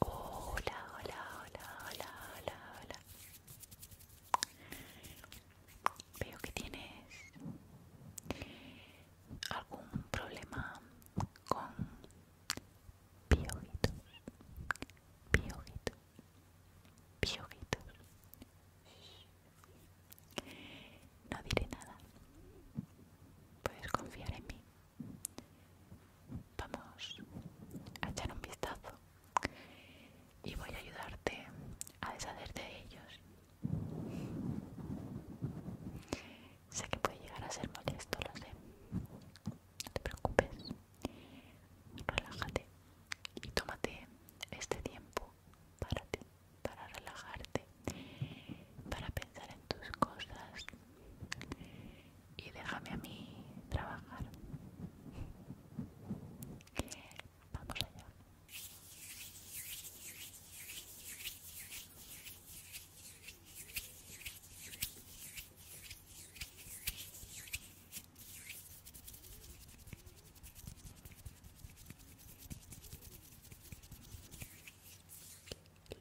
Hola, hola, hola, hola, hola, hola. Veo que tienes algún problema con piojitos, piojitos, piojitos. No diré nada. Puedes confiar en mí. Vamos a echar un vistazo y voy a ayudarte a deshacerte de ellos. Sé que puede llegar a ser molesto, lo sé. No te preocupes. Relájate y tómate este tiempo para para relajarte, para pensar en tus cosas y déjame a mí trabajar. Vamos allá.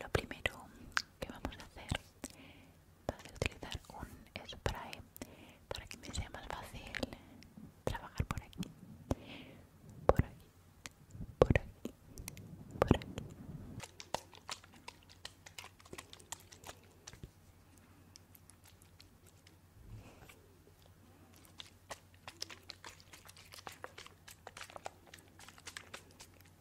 Lo primero qué vamos a hacer va a utilizar un spray para que me sea más fácil trabajar por aquí, por aquí, por aquí, por aquí.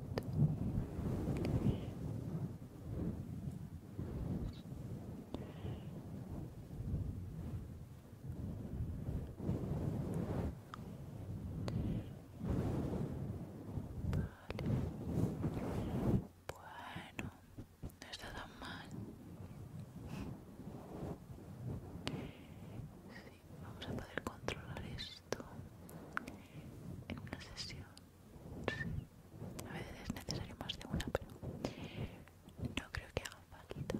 Bueno, no está tan mal. Sí, vamos a poder controlar eso en una sesión. A veces es necesario más de una, pero no creo que haga falta.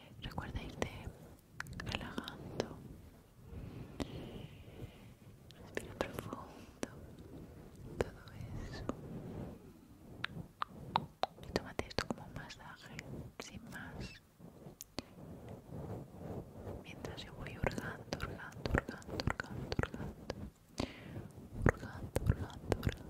Recuerda irte relajando. Respira profundo. Todo eso. Y tómate esto como un masaje, sin más. Mientras yo voy hurgando, hurgando, hurgando, hurgando, hurgando. Hurgando, hurgando, hurgando.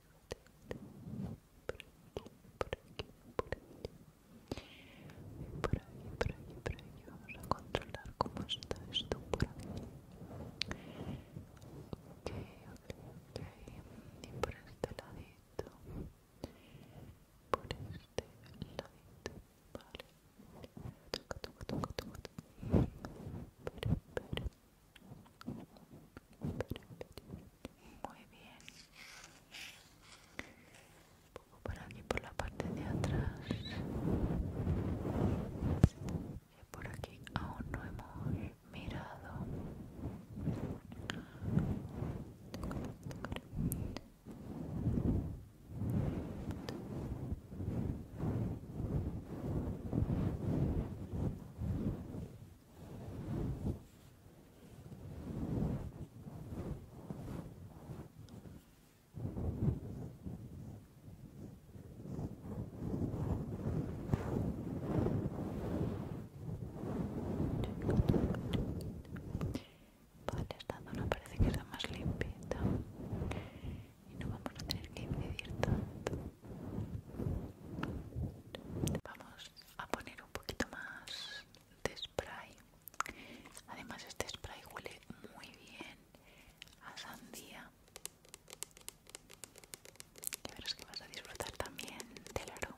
por aquí, por aquí, por aquí, por aquí, por aquí. Vamos a controlar cómo está esto por aquí. Ok, ok, ok. Y por este ladito, por este ladito, vale. Toca, toca, toco, toco Espera, espera. Muy bien. poco por aquí, por la parte de atrás. y por aquí aún no hemos mirado. Vale, esta zona parece que es más limpia y no vamos a tener que incidir tanto. Vamos a poner un poquito más de spray. Además este spray huele muy bien a sandía. Y verás que vas a disfrutar también del aroma.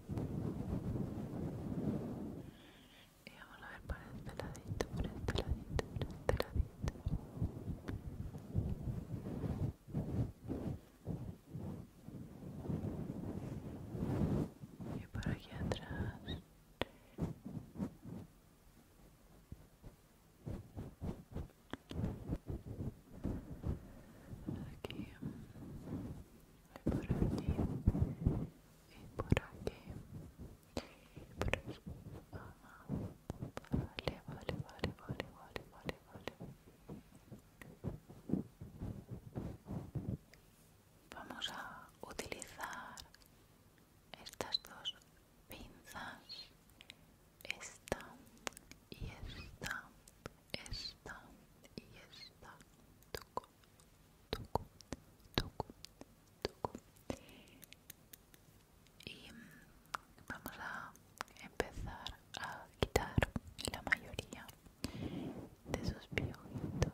Y eh, vamos a ver por este ladito, por este ladito, por este ladito. Y por aquí atrás. Aquí por aquí y por aquí vale vale vale vale vale vale vamos a utilizar estas dos pinzas esta y esta esta y esta tocó tocó tocó y mm, vamos a empezar a quitar la mayoría de esos piojitos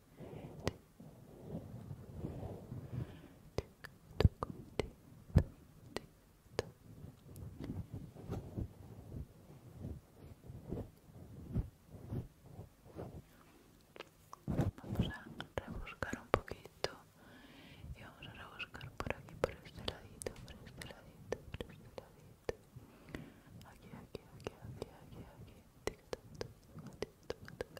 Vamos a rebuscar un poquito y vamos a rebuscar por aquí, por este ladito, por este ladito, por este ladito. Aquí, aquí, aquí, aquí, aquí, aquí. Tic, tac, tic, tac.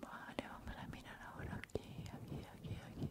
Vale, vamos a mirar ahora aquí, aquí, aquí, aquí,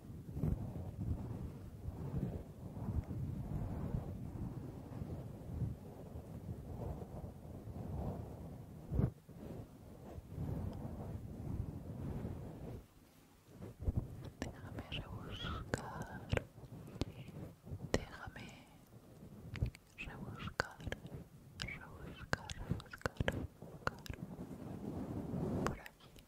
Déjame rebuscar. Déjame rebuscar. Rebuscar, rebuscar, rebuscar. Por aquí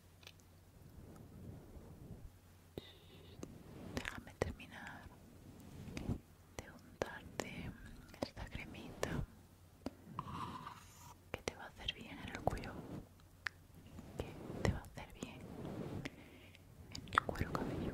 Déjame terminar de untarte esta cremita que te va a hacer bien en el cuello, que te va a hacer bien en el cuero cabello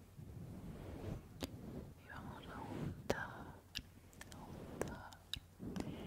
y vamos a untar, a untar, a untar...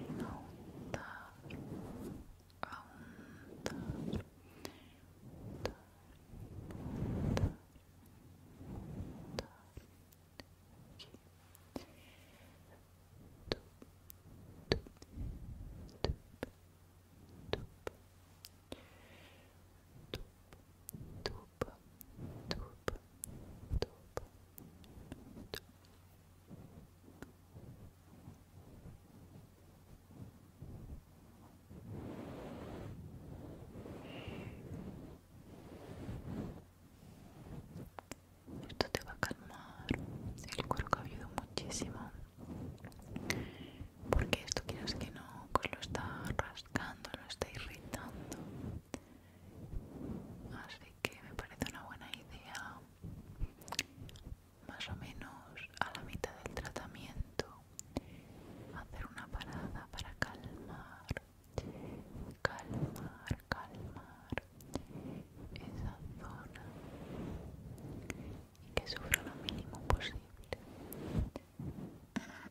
Esto te va a calmar el cuerpo ha cabelludo muchísimo, porque esto quieras que no, pues lo está lo está irritando. Así que me parece una buena idea, más o menos a la mitad del tratamiento, hacer una parada para calmar, calmar, calmar esa zona y que sufra lo mínimo posible.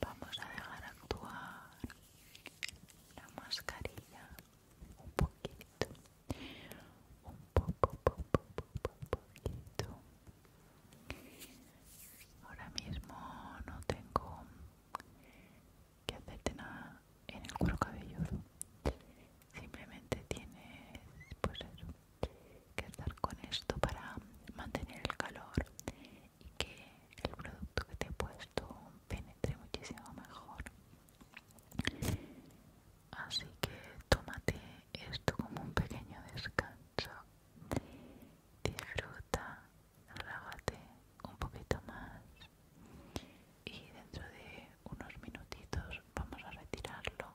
Vamos a dejar actuar la mascarilla un poquito, un poco, poco, poquito. Ahora mismo no tengo que hacerte nada en el cuero cabelludo. Simplemente tienes, pues eso, que estar con esto para mantener el calor y que el producto que te he puesto penetre muchísimo mejor así que tómate esto como un pequeño descanso disfruta relájate un poquito más y dentro de unos minutitos vamos a retirarlo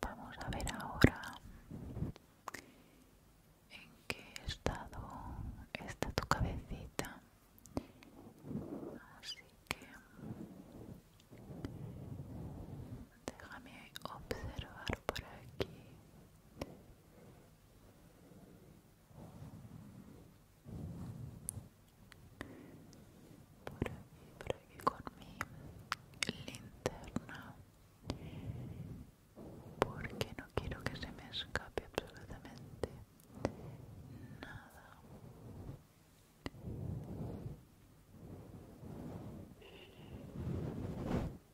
Vamos a ver ahora en qué estado está tu cabecita. Así que déjame observar por aquí por aquí, por aquí con mi linterna porque no quiero que se me escape absolutamente nada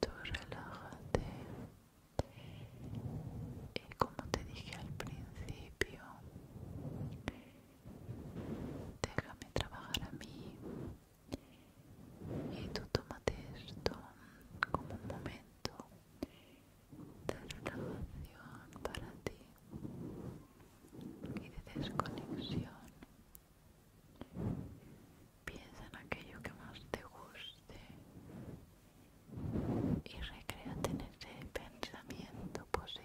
tú relájate y como te dije al principio déjame trabajar a mí y tú tómate esto como un momento de relajación para ti y de desconexión piensa en aquello que más te guste y recréate en ese pensamiento positivo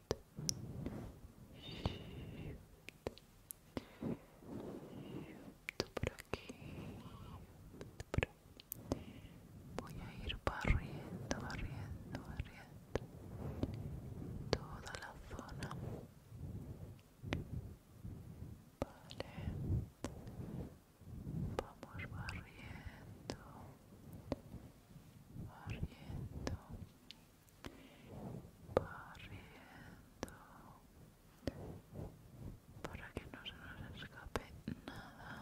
por aquí voy a ir barriendo barriendo barriendo toda la zona vale vamos barriendo barriendo, barriendo, para que no se nos escape nada.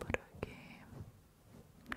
para que eso es.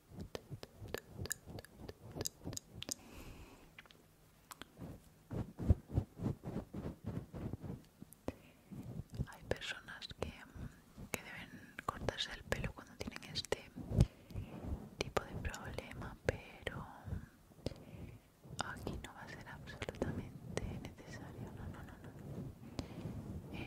Hay personas mm, que, deben cortarse el pelo cuando tienen este tipo de problema, pero mm, aquí no va a ser absolutamente necesario. No, no, no, no.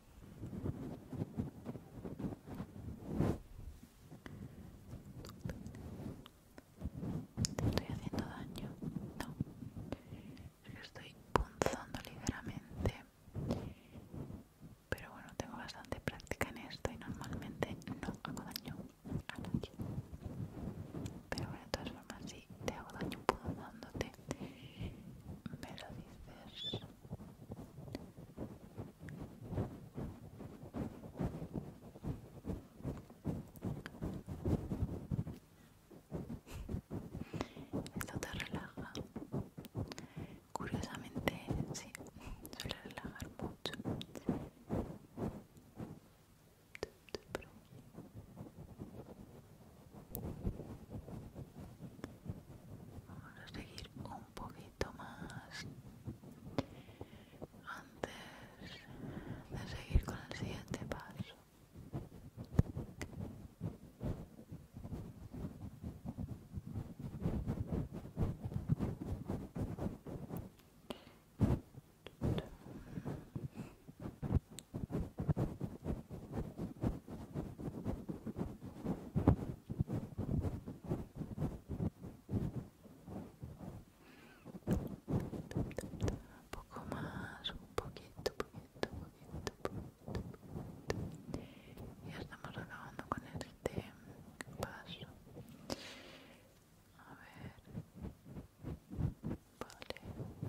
¿Te estoy haciendo daño? No. Estoy punzando ligeramente. Pero bueno, tengo bastante práctica en esto y normalmente no hago daño a nadie. Pero bueno, de todas formas, sí te hago daño punzándote, me lo dices esto te relaja. Curiosamente, sí, suele relajar mucho. Vamos a seguir un poquito más antes de seguir con el siguiente paso. Un poco más, un poquito, poquito, poquito, poquito, poquito. Ya estamos acabando con el paso. A ver. Vale.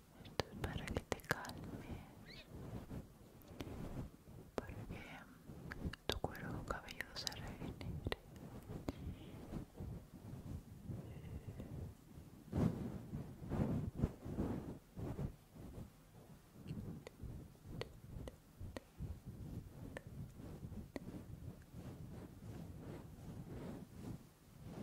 esto es para que te calmes, para que tu cuero cabelludo se regenere.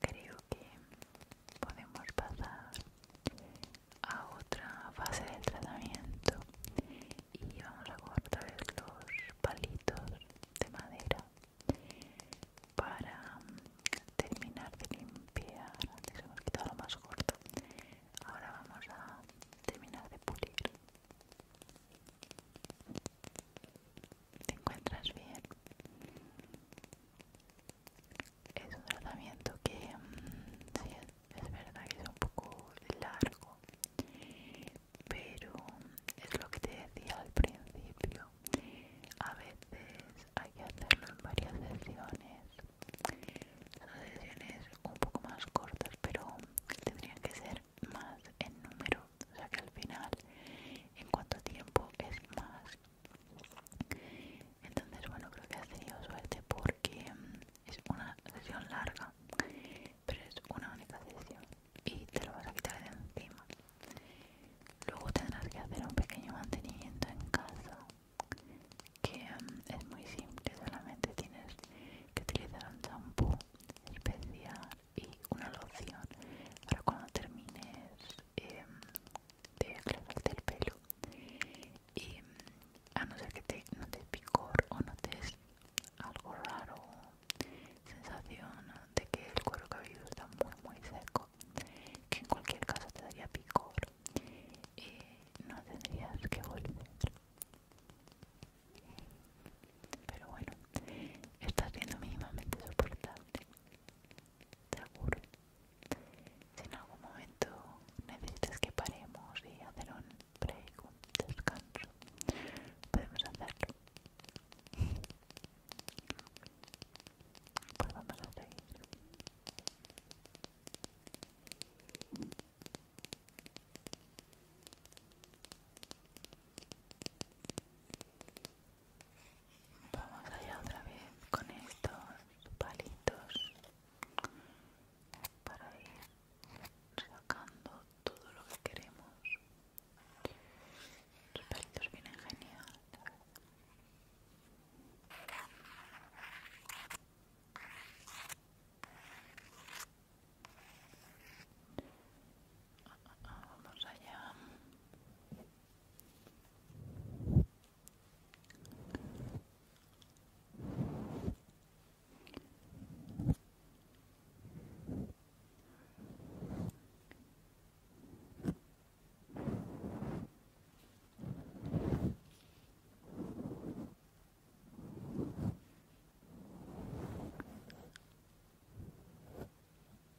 creo que podemos pasar a otra fase del tratamiento y vamos a cortar los palitos de madera para terminar de limpiar antes hemos quitado lo más corto ahora vamos a terminar de pulir ¿Te encuentras bien? Es un tratamiento que, mm, sí, es verdad que es un poco largo, pero mm, es lo que te decía al principio. A veces hay que hacerlo en varias sesiones. Son sesiones un poco más cortas, pero tendrían que ser más en número, o sea que al final en cuanto tiempo es más. Entonces, bueno, creo que has tenido suerte porque mm, es una sesión larga, pero es una única sesión y te lo vas a quitar de encima. Luego tendrás que hacer un pequeño mantenimiento en casa que mm, es muy simple, solamente tienes que utilizar un champú especial y una loción para cuando termines em, de aclararte el pelo y a no ser que te, notes picor o notes algo raro sensación de que el cuero cabelludo está muy muy seco que en cualquier caso te daría picor y eh, no tendrías que volver pero bueno, está siendo mínimamente soportable, seguro. Si en algún momento necesitas que paremos y hacer un break, un descanso, podemos hacerlo. Pues vamos a seguir. Vamos allá otra vez con estos palitos para ir sacando todo lo que queremos. Los palitos vienen genial. Vamos allá.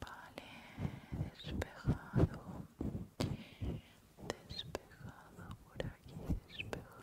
Vale, despejado, despejado por aquí, despejado.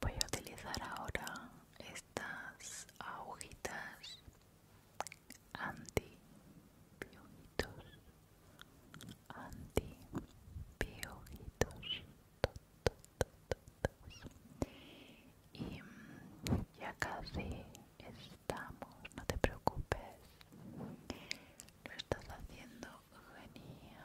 Voy a utilizar ahora estas agujitas anti piojitos, anti piogitos. Y mm, ya casi estamos, no te preocupes. Lo estás haciendo genial.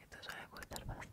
Esto suele costar bastante.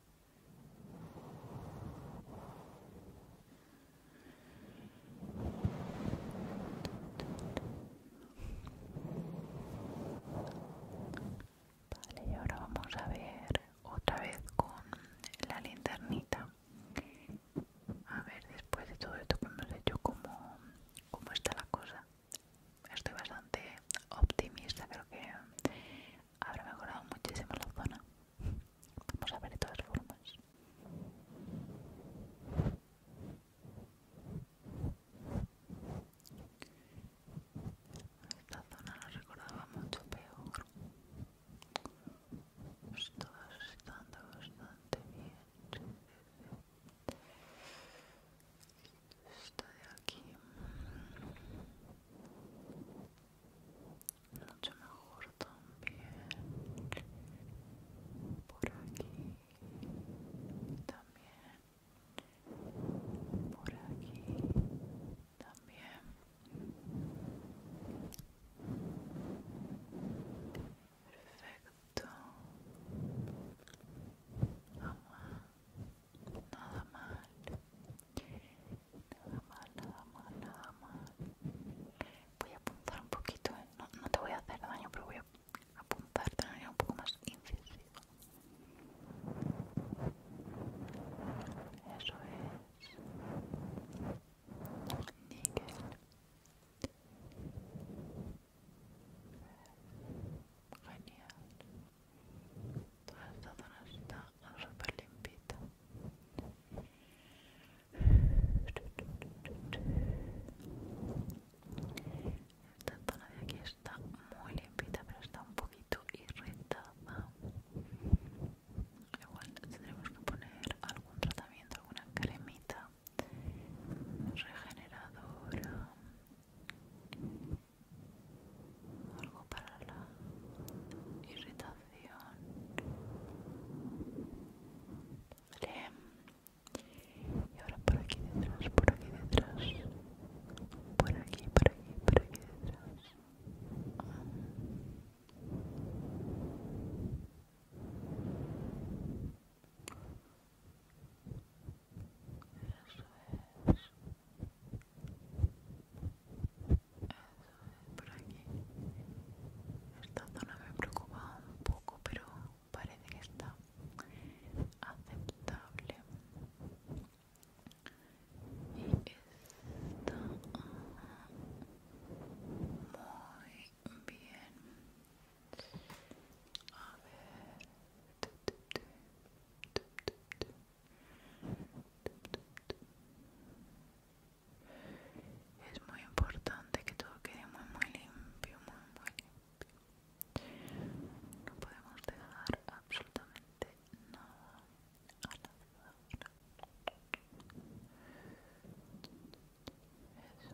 Vale, y ahora vamos a ver otra vez con la linternita. A ver, después de todo esto que hemos hecho, cómo, cómo está la cosa estoy bastante optimista, creo que habrá mejorado muchísimo la zona. Vamos a ver de todas formas. Esta zona la recordaba mucho peor. Estaba pues estando bastante bien esta de aquí mucho mejor también por aquí también por aquí también perfecto vamos nada mal nada mal nada mal nada mal voy a apuntar un poquito ¿eh? no, te voy a hacer daño pero voy a apuntarte un poco más incisivo eso es níquel Genial toda esta zona está súper limpita esta zona de aquí está muy limpita pero está un poquito irritada igual tendremos que poner algún tratamiento alguna cremita regeneradora algo para la irritación y ahora por aquí detrás por aquí detrás por aquí por aquí por aquí detrás es, por aquí esta zona me preocupa un poco pero parece que está aceptable y está ah, muy bien a ver es muy importante que todo quede muy muy limpio, muy muy limpio. No podemos dejar absolutamente nada Eso Eso es.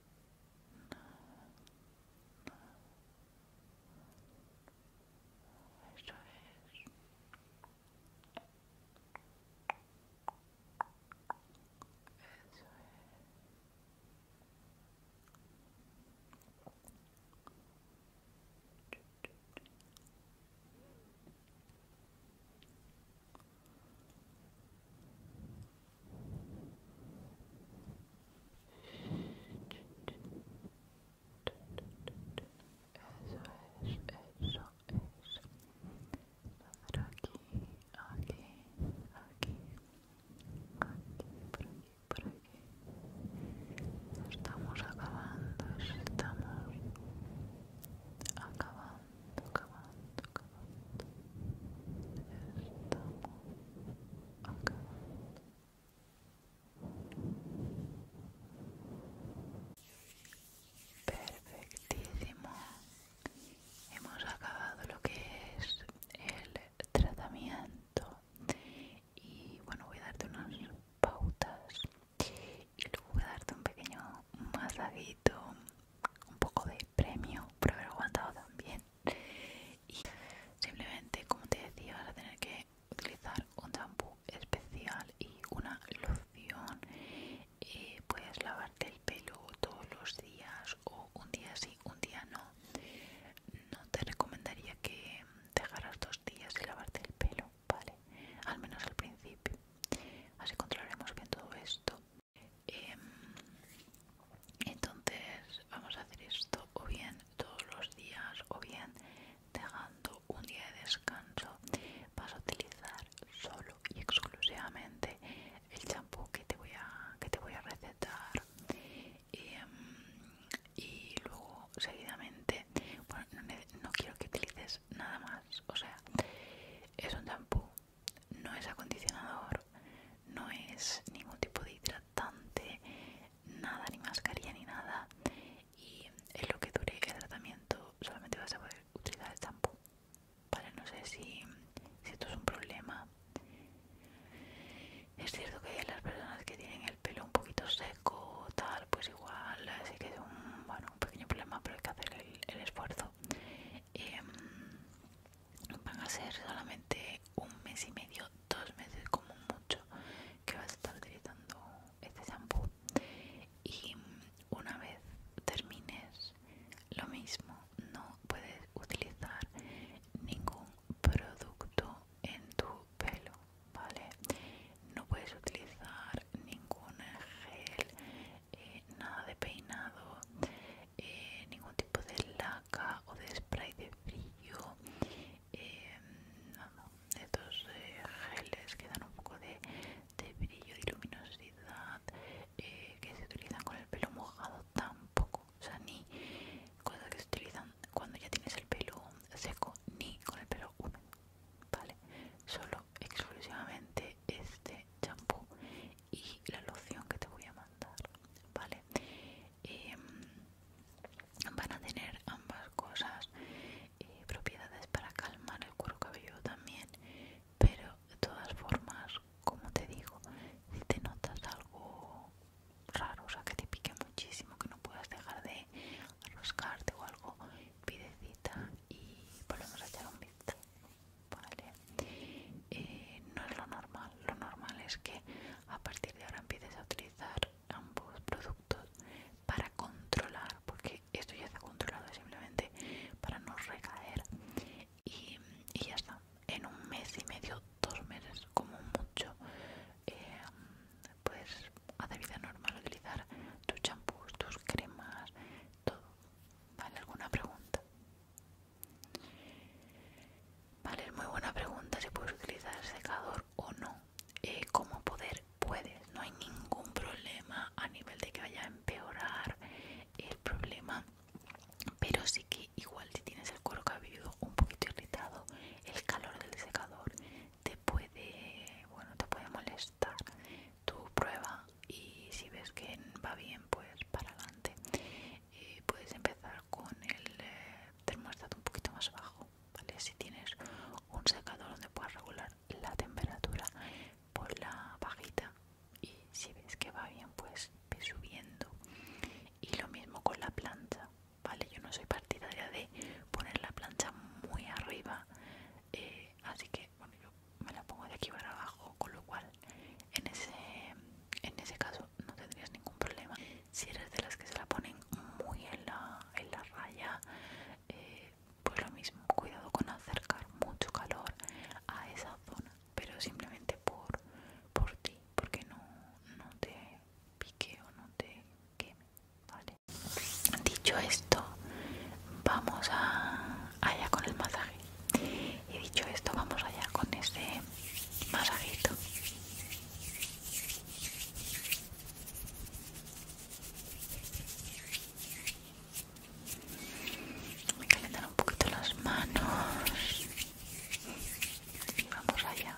Eso es. Eso es es, eso es. Por aquí, aquí, aquí, aquí, por aquí, por aquí. Estamos acabando, estamos acabando, acabando, acabando. Perfectísimo. Hemos acabado lo que es el tratamiento y bueno, voy a darte unas pautas y luego voy a darte un pequeño masajito, un poco de premio por haber aguantado tan bien. Y simplemente, como te decía, vas a tener que utilizar un champú especial y una loción. Eh, puedes lavarte el pelo todos los días o un día sí, un día no. No te recomendaría que dejaras dos días y lavarte el pelo, ¿vale? Al menos al principio. Así controlaremos bien todo esto. Em, entonces vamos a hacer esto o bien todos los días o bien dejando un día de descanso vas a utilizar solo y exclusivamente el champú que te voy a que te voy a recetar em, y luego seguidamente bueno, no quiero que utilices nada más o sea es un champú no es acondicionador no es ningún tipo de hidratante, nada, ni mascarilla ni nada. Y en lo que dure el tratamiento solamente vas a poder utilizar el champú. Vale, no sé si, esto es un problema. Es cierto que las personas que tienen el pelo un poquito seco, tal, pues igual sí que es un, bueno, un pequeño problema, pero hay que hacer el, esfuerzo. Em, van a ser solamente un mes y medio, dos meses como mucho que vas a estar utilizando este shampoo y una vez termines lo mismo no puedes utilizar ningún producto en tu pelo vale no puedes utilizar ningún gel eh, nada de peinado eh, ningún tipo de laca o de spray de brillo em, eh, estos geles que dan un poco de, brillo de luminosidad eh, que se utilizan con el pelo mojado tampoco o sea ni que se utilizan cuando ya tienes el pelo seco ni con el pelo húmedo vale solo exclusivamente este champú y la loción que te voy a mandar vale em, van a tener ambas cosas eh, propiedades para calmar el cuero cabelludo también pero de todas formas como te digo si te notas algo raro o sea que te pique muchísimo que no puedas dejar de rascarte o algo pide cita y volvemos a echar un vistazo vale eh, no es lo normal. Lo normal es que a partir de ahora empieces a utilizar ambos productos para controlar, porque esto ya está controlado simplemente para no recaer. Y, ya está. En un mes y medio, dos meses como mucho, pues puedes a de vida normal utilizar tus champús, tus cremas, todo. ¿Vale? ¿Alguna pregunta? Vale, muy buena pregunta si puedes utilizar el secador o no. Eh, como poder puedes, no hay ningún problema a nivel de que vaya a empeorar el problema, pero sí que igual si tienes el cuero cabelludo un poquito irritado, el calor del secador te puede, bueno, te puede molestar. Tu prueba y si ves que va bien, pues para adelante y puedes empezar con el eh, termostato un poquito más bajo, Si tienes un secador donde puedas regular la temperatura, por la bajita y si ves que va bien, pues ve subiendo. Y lo mismo con la plancha, ¿vale? Yo no soy partidaria de poner la plancha muy arriba, eh, así que, bueno, me la pongo de aquí para abajo, con lo cual en ese, en ese caso no tendrías ningún problema. Si eres de las que se la ponen muy en la, en la raya, eh, pues lo mismo, cuidado con acercar mucho calor a esa zona, pero simplemente por, por ti, porque no, te pique o no te queme. Dicho esto, vamos a, allá con el masaje. Y dicho esto, vamos allá con este más voy a calentar un poquito las manos y vamos allá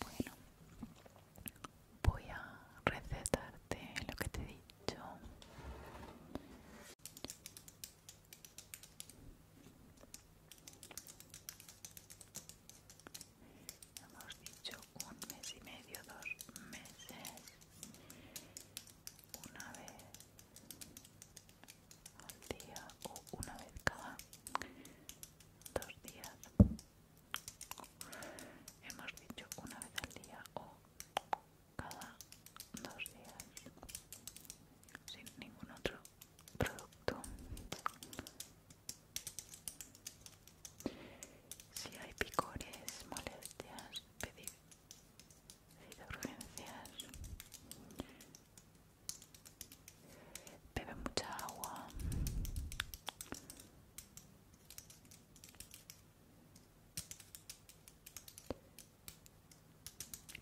Bueno, voy a recetarte lo que te he dicho un mes y medio, dos meses, una vez al día o una vez cada dos días. Hemos dicho una vez al día o cada dos días sin ningún otro producto si hay picores, molestias, pedir urgencias. Bebe mucha agua.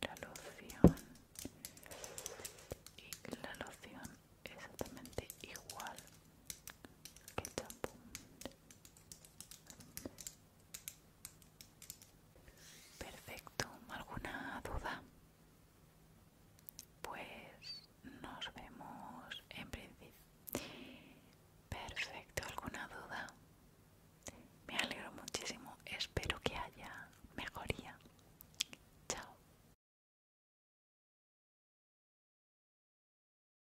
La loción y la loción exactamente igual que el Perfecto, ¿alguna duda? Pues nos vemos en principio. Perfecto, ¿alguna duda? Me alegro muchísimo, espero que haya mejoría. Chao.